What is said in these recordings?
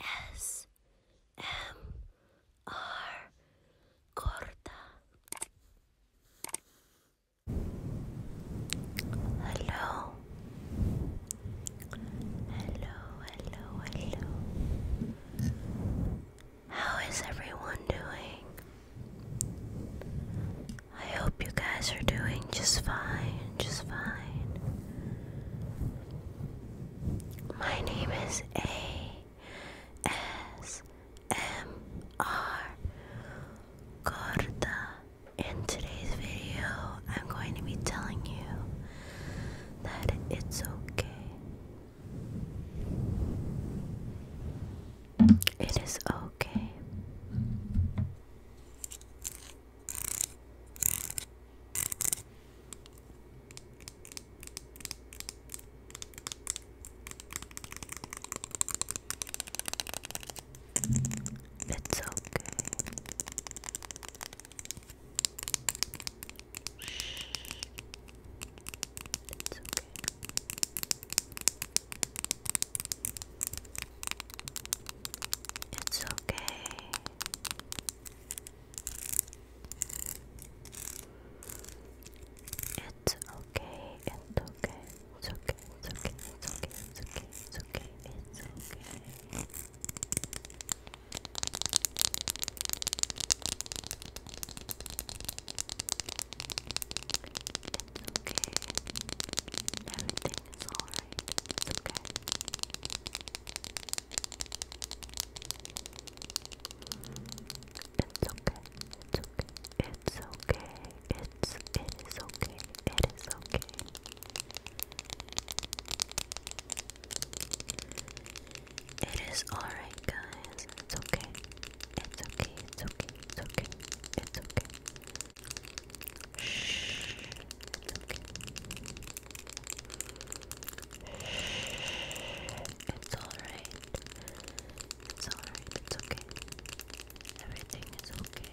ASMR Corta. Hello. Hello, hello, hello. How is everyone doing? I hope you guys are doing just fine, just fine. My name is A S M R Corda. In today's video, I'm going to be telling you that it's okay. It is okay. It's okay. Shh. It's okay. It's okay. It's okay. It's okay. It's okay. It's okay. It's okay. It's okay. It's okay. It's okay. It's okay. Everything it's alright. It's okay. It's okay. It's okay. It's okay. It's it is okay. It is okay. It is alright guys. It's okay. It's okay. It's okay. It's okay. It's okay. Shh. It's okay. Shh. It's alright. It's alright. It's okay. Everything is okay.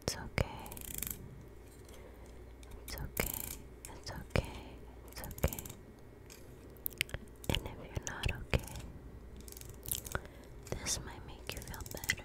It's okay. It's okay. It's okay. It's okay. And if you're not okay, this might make you feel better.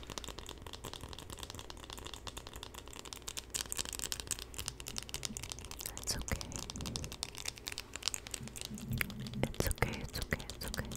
It's okay. It's okay, it's okay, it's okay. It's okay, it's okay, it's okay, okay.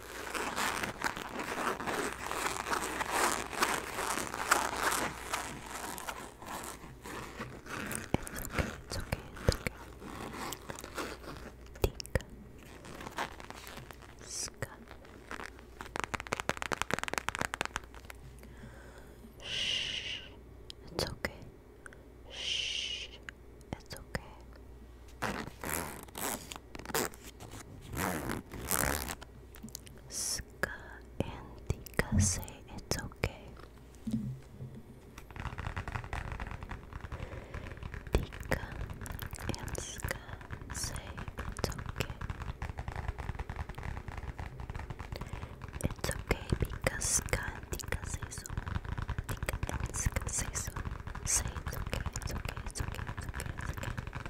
It's okay, it's okay. Think. Ska. Shh. It's okay. Shh. It's okay. Ska and Tika say it's okay. Tika and Ska say it's okay. It's okay because Ska and Tika say so. Tika and Ska say so. Say it's okay, it's okay, it's okay, it's okay, it's okay.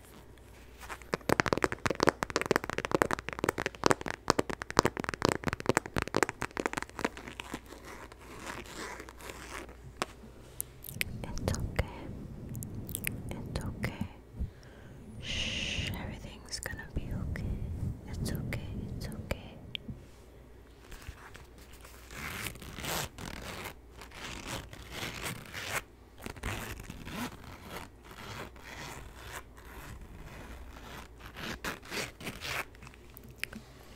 It's okay. It's okay. everything's gonna be okay. It's okay. It's okay.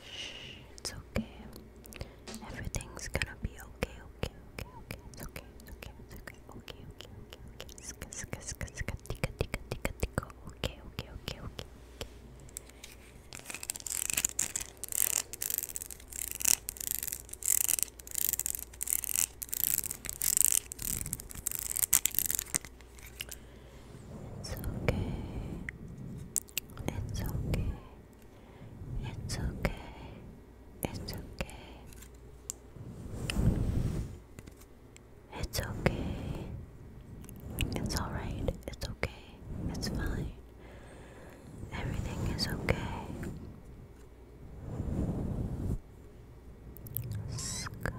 Shh, it's okay. Everything's gonna be okay, okay, okay, okay. It's okay, it's okay, it's okay, okay, okay, okay, okay. Ska, ska, ska, ska, tika, tika, tika, tika. Okay, okay, okay, okay, okay. It's okay. It's okay. It's okay. It's okay. It's okay. It's alright. It's okay. It's fine. Everything is okay. Sk.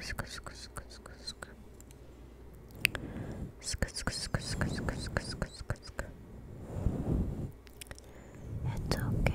Sk. Sk. It's okay.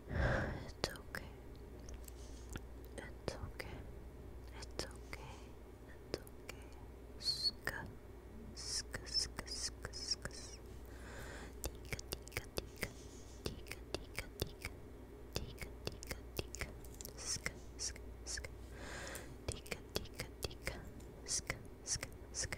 It's okay. It's okay. It's okay. It's okay. Ska, ska, ska, ska, ska. Tika, tika, tika, tika, tika, tika, tika, tika, tika. Ska, ska, ska. Tika, tika, tika. Ska, ska, ska.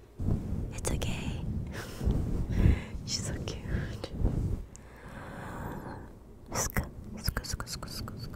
It's okay. She's so cute. Sk sk sk sk sk sk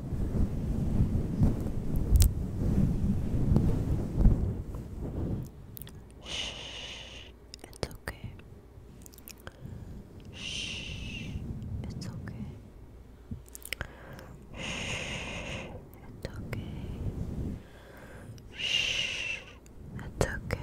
Shh, it's okay. Shh, it's okay. Shh, it's okay. Shh, it's okay. Shh, it's okay.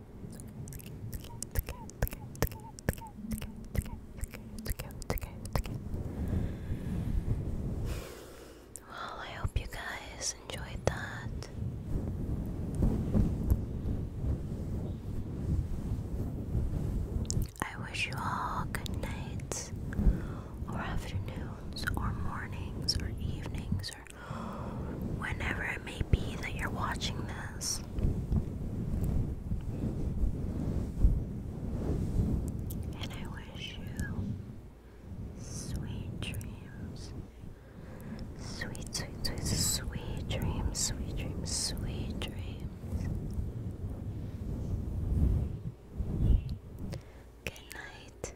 Well, I hope you guys enjoyed that. I wish you all good nights, or afternoons, or mornings, or evenings, or whenever it may be that you're watching this. And I wish you sweet dreams. Sweet, sweet, sweet, sweet dreams, sweet dreams, sweet dreams. Good night.